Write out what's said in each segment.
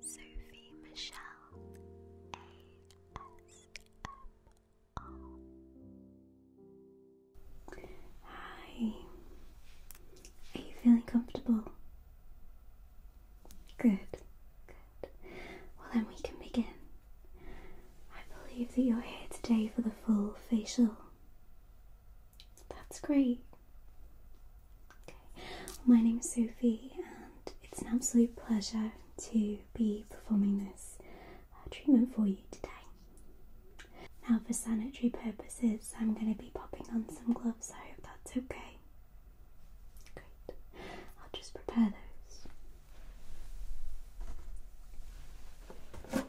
Sophie Michelle ASMR. Hi, are you feeling comfortable? Good, good. Well, then we can begin. I believe that you're here today for the full facial. That's great. Okay. My name is Sophie, and it's an absolute pleasure to be performing this uh, treatment for you today. Now, for sanitary purposes, I'm going to be popping on some gloves. I hope that's okay. Great. I'll just prepare those. Okay.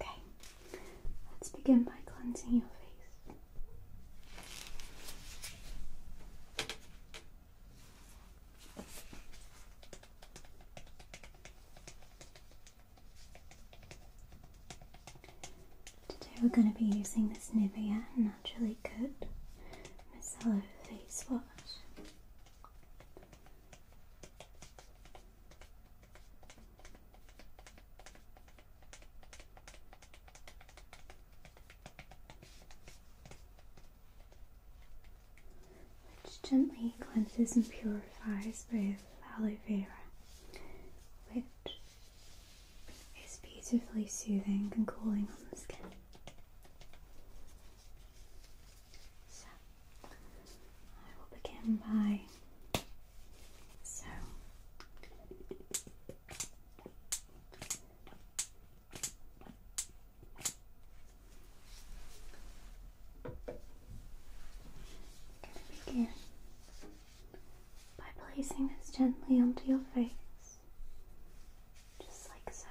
Okay, let's begin by cleansing your face. Today we're going to be using this Nivea Naturally Good Micellar Face Wash. Which gently cleanses and purifies with aloe vera, which it's beautifully soothing and cooling on the skin. So, I will begin by. So, begin by placing this gently onto your face just like so.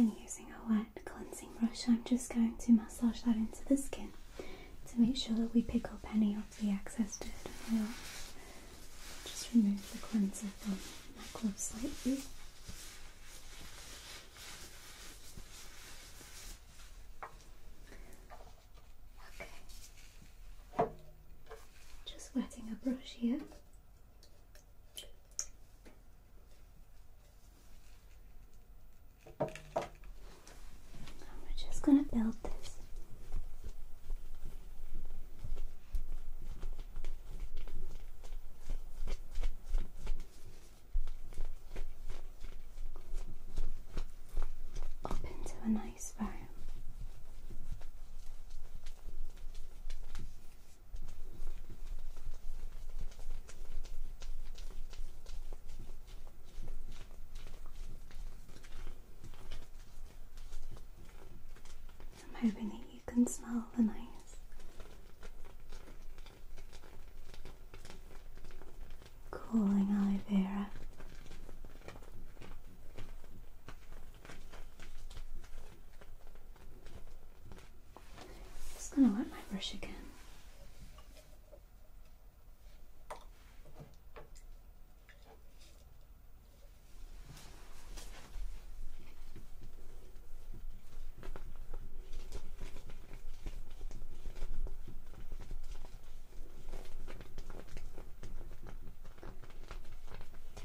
And then using a wet cleansing brush, I'm just going to massage that into the skin to make sure that we pick up any of the excess dirt. just remove the cleanser from my clothes slightly. Okay, just wetting a brush here. we're just going to build this. Up into a nice I'm hoping that you can smell the nice cooling aloe vera just gonna wet my brush again.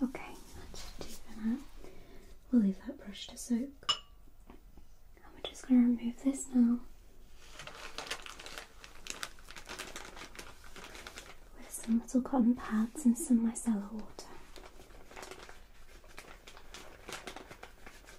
Okay, We'll leave that brush to soak. I'm just going to remove this now with some little cotton pads and some micellar water.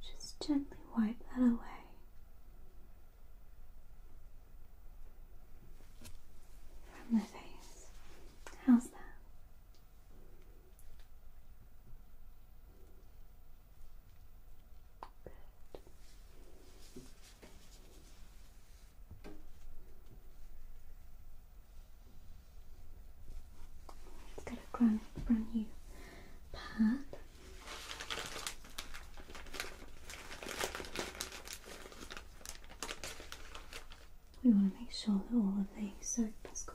Just gently wipe that away. From the face. How's that? Good. Let's a brand, brand new pad. We want to make sure that all of these are Pascal.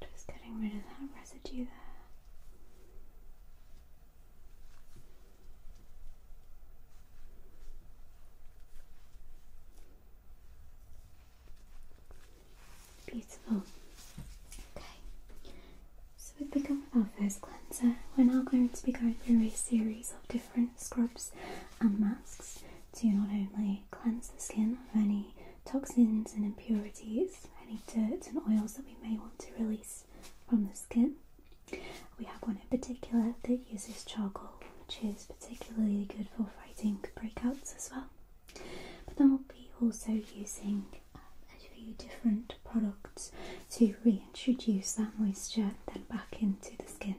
Just getting rid of that residue there. Beautiful. Okay. So we've begun with our first cleanser. We're now going to be going through a series of different scrubs and masks to not only cleanse the skin of any toxins and impurities, any dirt and oils that we may want to release from the skin. We have one in particular that uses charcoal, which is particularly good for fighting breakouts as well. But then we'll be also using a few different products to reintroduce that moisture then back into the skin.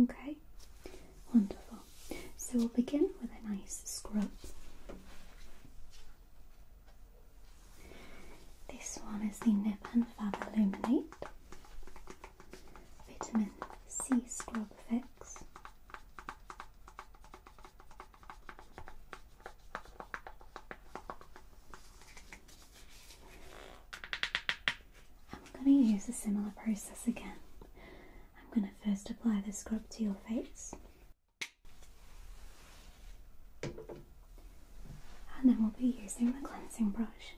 Okay, wonderful. So we'll begin with a nice scrub. This one is the Nip and Fab Illuminate Vitamin C Scrub Fix. I'm going to use a similar process again. I'm going to first apply the scrub to your face. And then we'll be using the cleansing brush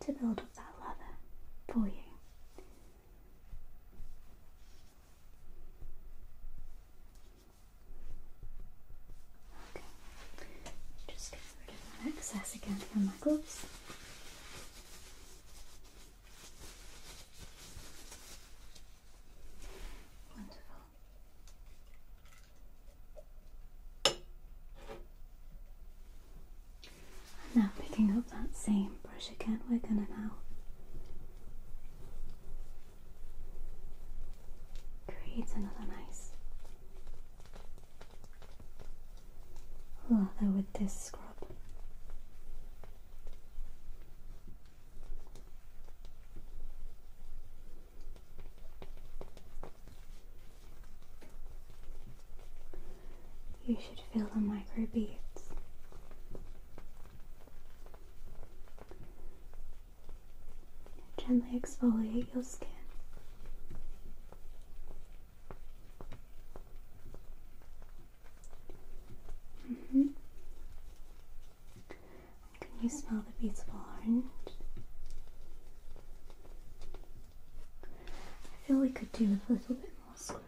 to build up that lather for you. Okay. Just get rid of that excess again from my gloves. Wonderful. now picking up that same brush again, we're going to now creates another nice lather with this scrub. You should feel the microbeads gently exfoliate your skin. Mm-hmm. Can you smell the beautiful orange? I feel we could do with a little bit more scrub.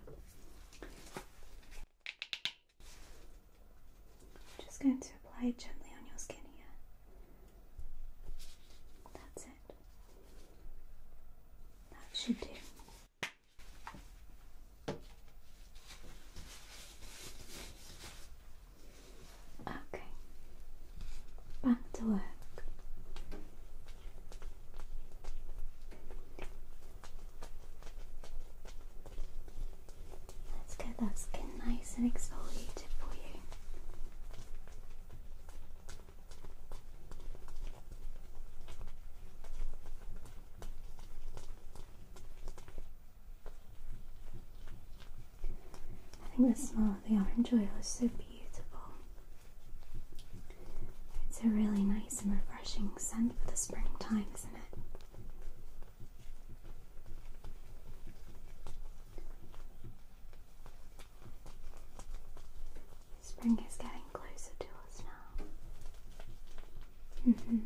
I'm just going to apply it gently on your skin here. That's it. That should do. Okay, back to work. Let's get that skin nice and exfoliated for you. I think the smell of the orange oil is so beautiful. It's a really nice and refreshing scent for the springtime, isn't it? Spring is getting closer to us now. -hmm.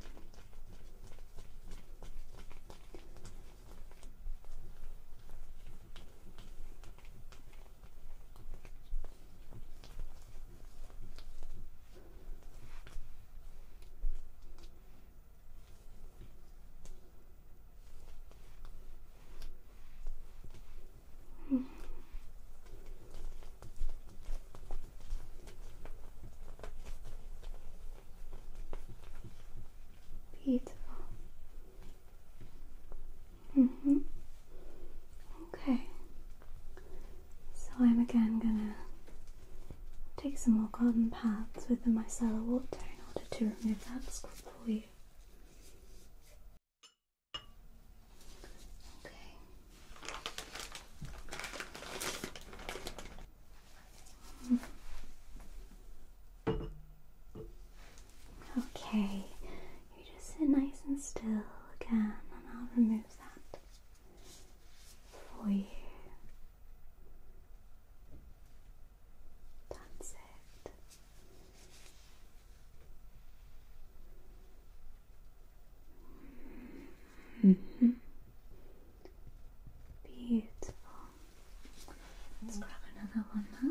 Beautiful. Mm -hmm. Mm-hmm. Okay. So I'm again gonna take some more cotton pads with the micellar water in order to remove that scrub for you. Okay. Okay, you just sit nice and still again, and I'll remove that for you. That's it. Beautiful. Let's grab another one now.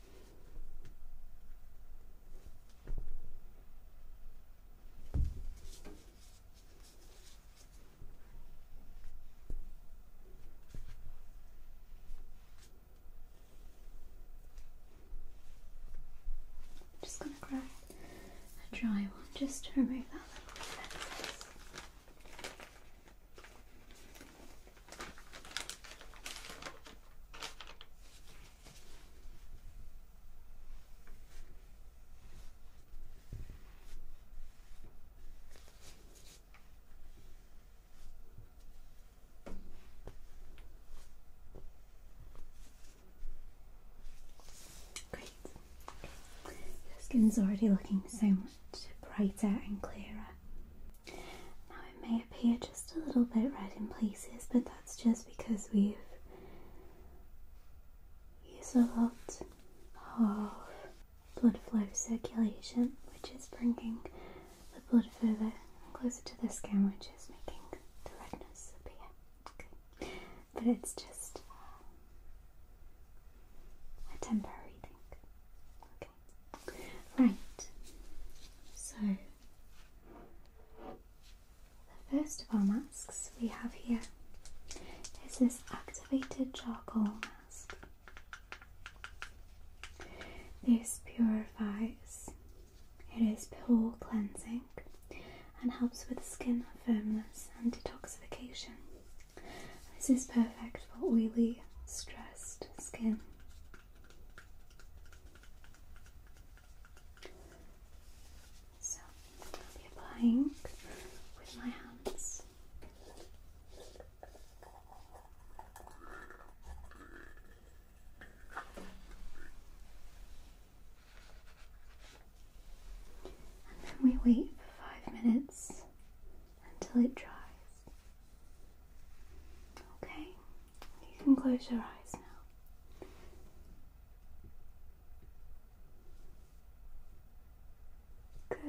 I'm just going to grab a dry one just to remove that little excess. Great. Your skin's already looking so much brighter and clearer it may appear just a little bit red in places, but that's just because we've used a lot of blood flow circulation, which is bringing the blood further closer to the skin, which is making the redness appear. Okay. But it's just um, a temporary thing. Okay. Right. So the first of our masks we have here is this activated charcoal mask. This purifies, it is pore cleansing and helps with skin firmness and detoxification. This is perfect for oily, stressed skin so I'll be applying with my hands. And then we wait for five minutes until it dries. Okay, you can close your eyes now. Good.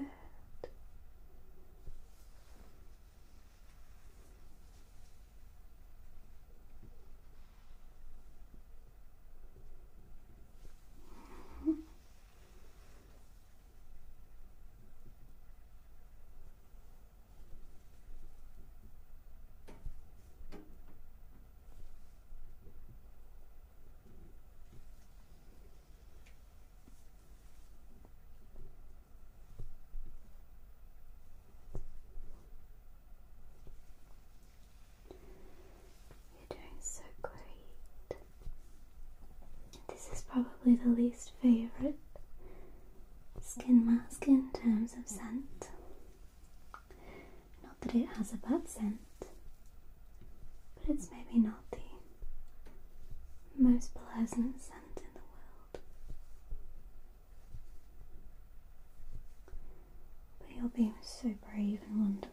You're doing so great. This is probably the least favorite skin mask in terms of scent. Not that it has a bad scent, but it's maybe not the most pleasant scent in the world. But you're being so brave and wonderful.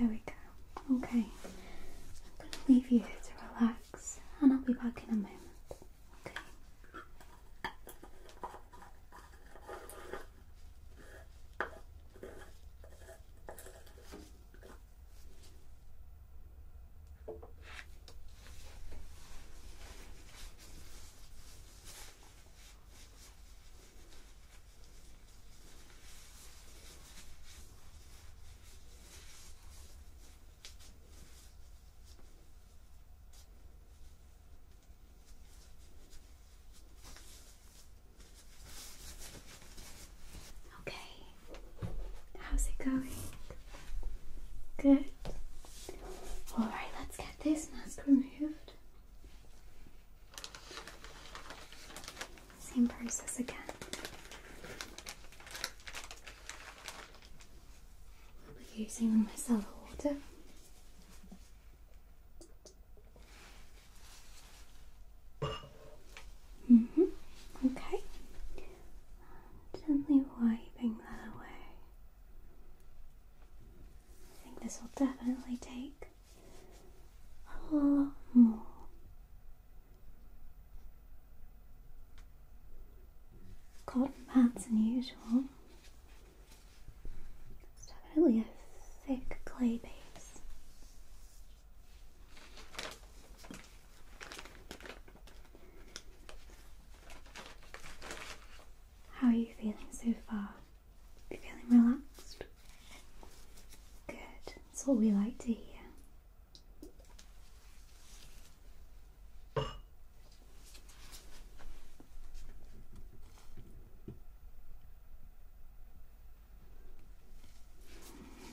There we go. Okay, I'm going to leave you to relax and I'll be back in a moment. Okay. Okay, how's it going? Good. Alright, let's get this mask removed. Same process again. I'll be using my micellar water. Mm -hmm. Okay. Gently wiping that away. I think this will definitely take a lot more. Cotton pads than usual. It's definitely a thick clay base. How are you feeling so far? Are you feeling relaxed? Good, that's what we like to hear.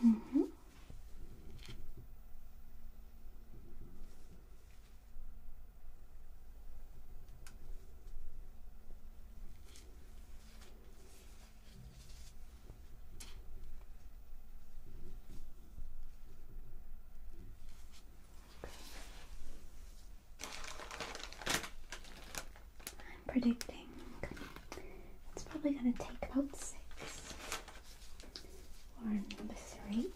Mm -hmm. I'm predicting it's probably going to take about six or three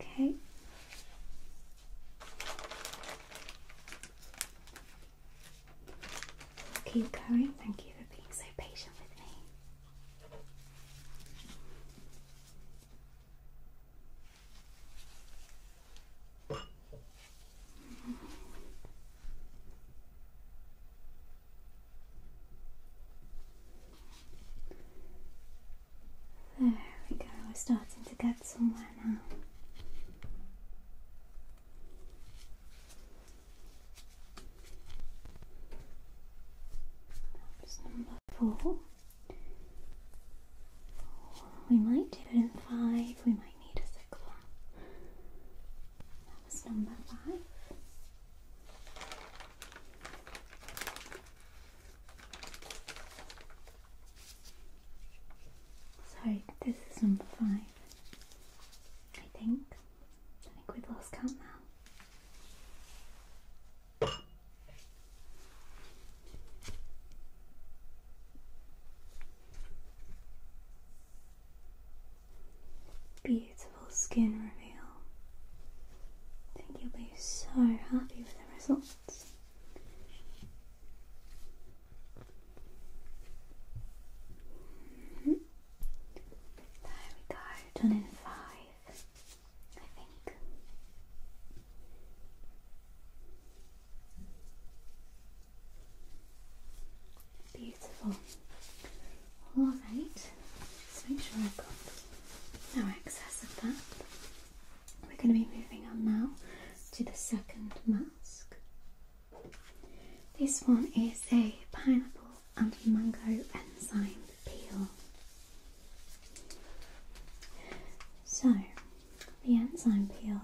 Okay. Keep going. Thank you for being so patient with me. There we go, we're starting to get somewhere now. That's number four. We might do it in five, we might need a sixth that's this is number five. I think. I think we've lost count now. Beautiful skin reveal. I think you'll be so happy with the results. Mm-hmm. There we go, done in five, I think. Beautiful. All right. Just make sure I've got no excess of that. We're going to be moving on now to the second mask. This one is a pineapple and mango enzyme peel. So, the enzyme peel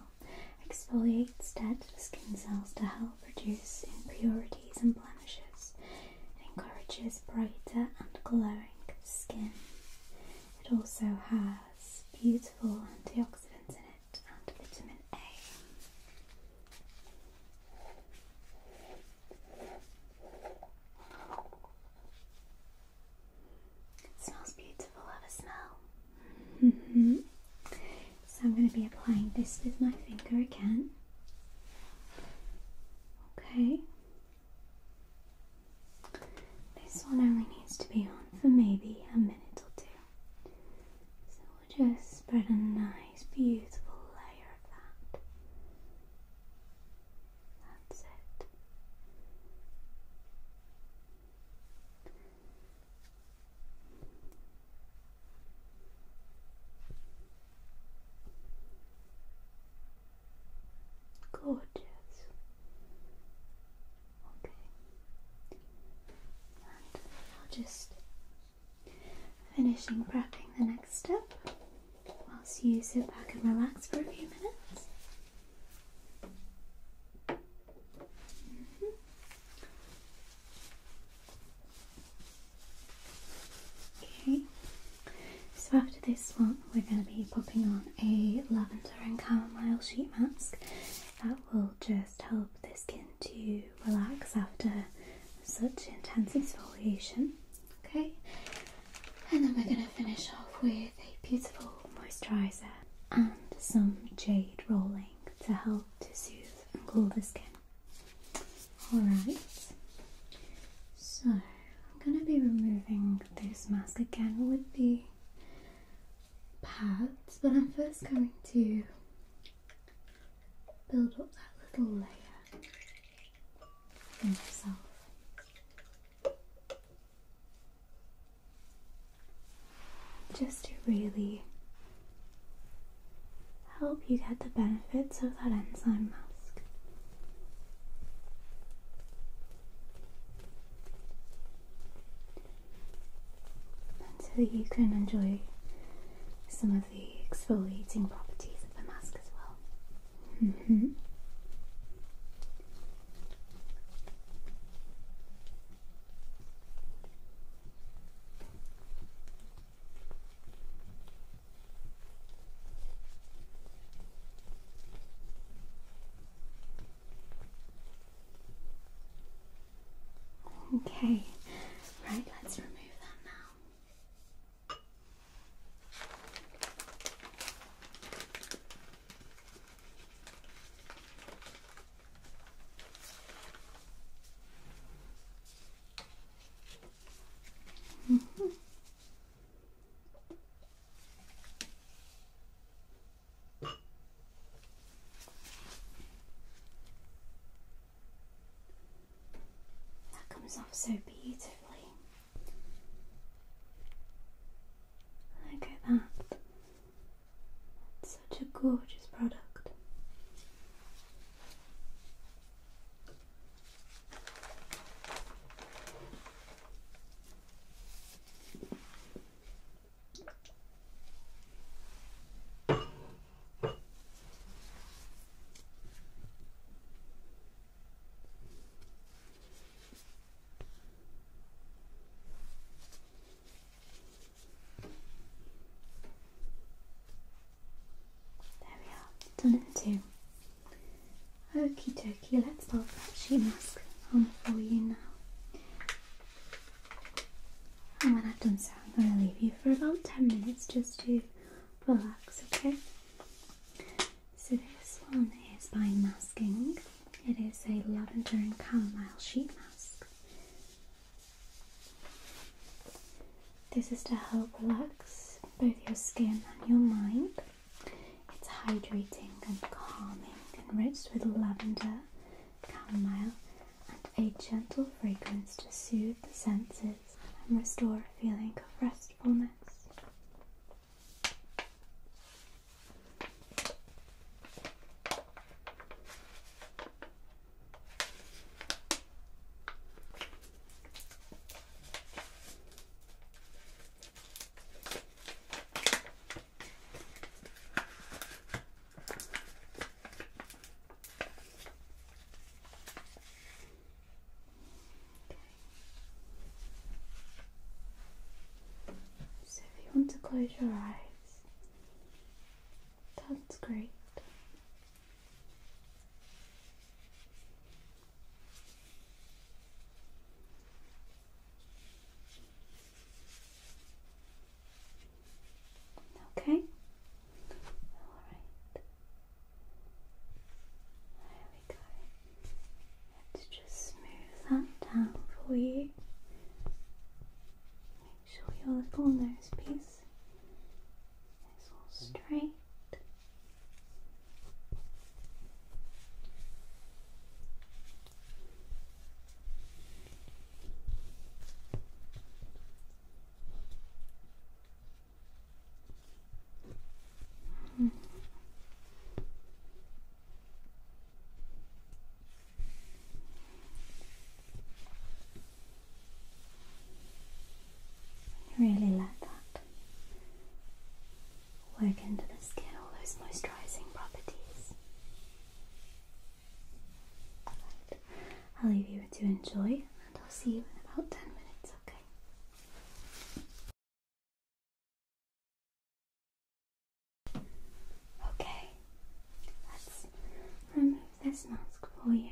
Exfoliates dead skin cells to help reduce impurities and blemishes. It encourages brighter and glowing skin. It also has beautiful antioxidants in it and vitamin A. It smells beautiful, have a smell. Mm-hmm. So I'm going to be applying this with my finger again. Okay. This one only needs to be on for maybe a minute or two. So we'll just spread a nice, beautiful layer of that. That's it. Gorgeous. Okay. I'll just finishing prepping the next step whilst you sit back and relax for a few minutes. Mm-hmm. Okay, so after this one, we're going to be popping on a lavender and chamomile sheet mask that will just help the skin to relax after such intense exfoliation. Okay, and then we're going to finish off with a beautiful moisturizer and some jade rolling to help to soothe and cool the skin. Alright, so I'm going to be removing this mask again with the pads, but I'm first going to build up that little layer for myself just to really help you get the benefits of that enzyme mask. And so you can enjoy some of the exfoliating properties of the mask as well. Mm-hmm. Okay, right, let's remove that now. That comes off so beautifully. Look at that. Such a gorgeous product. There we are, done in two. Okie dokie, let's pop that sheet mask on for you now. And when I've done so, I'm going to leave you for about 10 minutes just to relax, okay? So this one is by Masking. It is a lavender and chamomile sheet mask. This is to help relax both your skin and your mind. It's hydrating and calming, enriched with lavender, chamomile, and a gentle fragrance to soothe the senses and restore a feeling of restfulness. So, if you want to close your eyes, that's great. Okay. All right. There we go. Let's just smooth that down for you show your little nose piece. It's all straight. Mm -hmm. Okay. Really let that work into the skin, all those moisturizing properties. I'll leave you to enjoy, and I'll see you in about 10 minutes, okay? Okay, let's remove this mask for you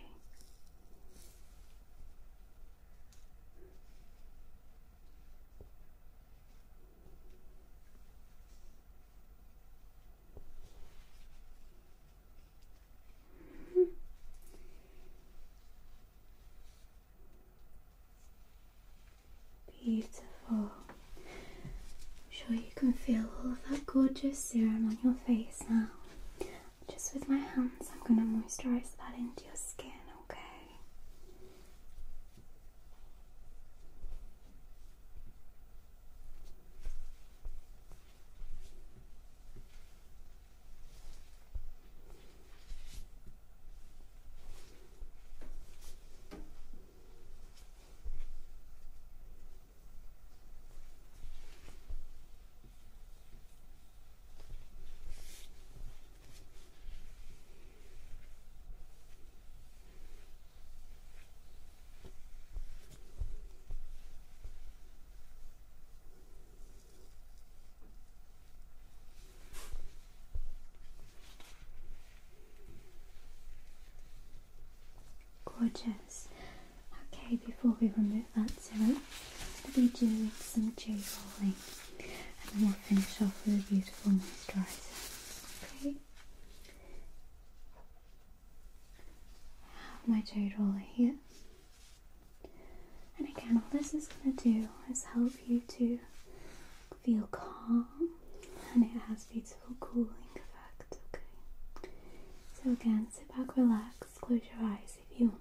Beautiful. I'm sure you can feel all of that gorgeous serum on your face now. Just with my hands, I'm going to moisturize that into your skin, okay? Gorgeous. Okay, before we remove that serum, I'll be doing some dew rolling and then we'll finish off with a beautiful moisturiser. Okay. I have my jade roller here. And again, all this is going to do is help you to feel calm and it has beautiful cooling effects. okay? So again, sit back, relax Close your eyes if you want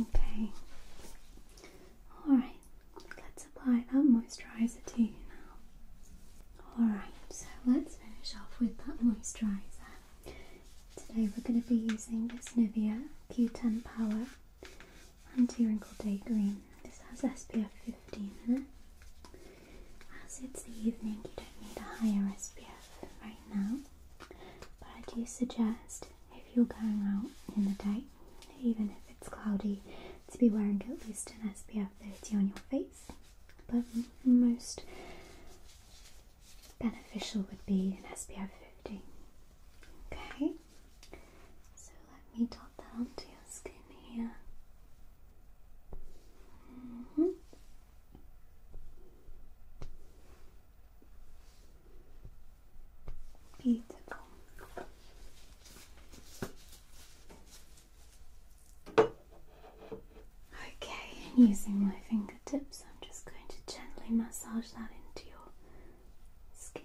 Okay. All right. Let's apply that moisturizer to you now. All right. So let's finish off with that moisturizer. Today we're going to be using this Nivea Q10 Power Anti-Wrinkle Day Green. This has SPF 15 in it. As it's the evening, you don't need a higher SPF right now. But I do suggest if you're going out in the day, even if it's cloudy, to be wearing at least an SPF 30 on your face. But most beneficial would be in SPF 50. Okay, so let me dot that onto your skin here. Mm-hmm. Beautiful. Okay, using my finger. So I'm just going to gently massage that into your skin.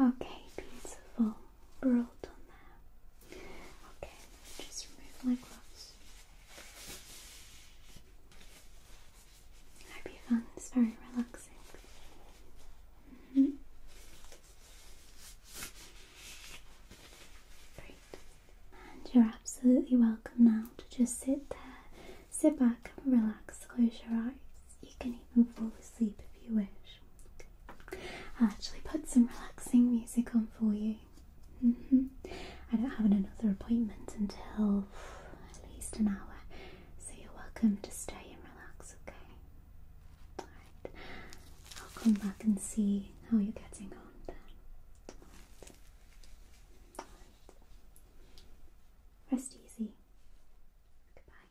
Okay, beautiful. we all done there. Okay, just remove my gloves. I hope you found this very relaxing. Mm-hmm. Great. And you're absolutely welcome now to just sit there, sit back relax, close your eyes. You can even fall asleep if you wish. i actually put some relaxing music on for you. Mm-hmm. I don't have another appointment until at least an hour, so you're welcome to stay and relax, okay? Alright, I'll come back and see how you're getting on then. Rest easy. Goodbye.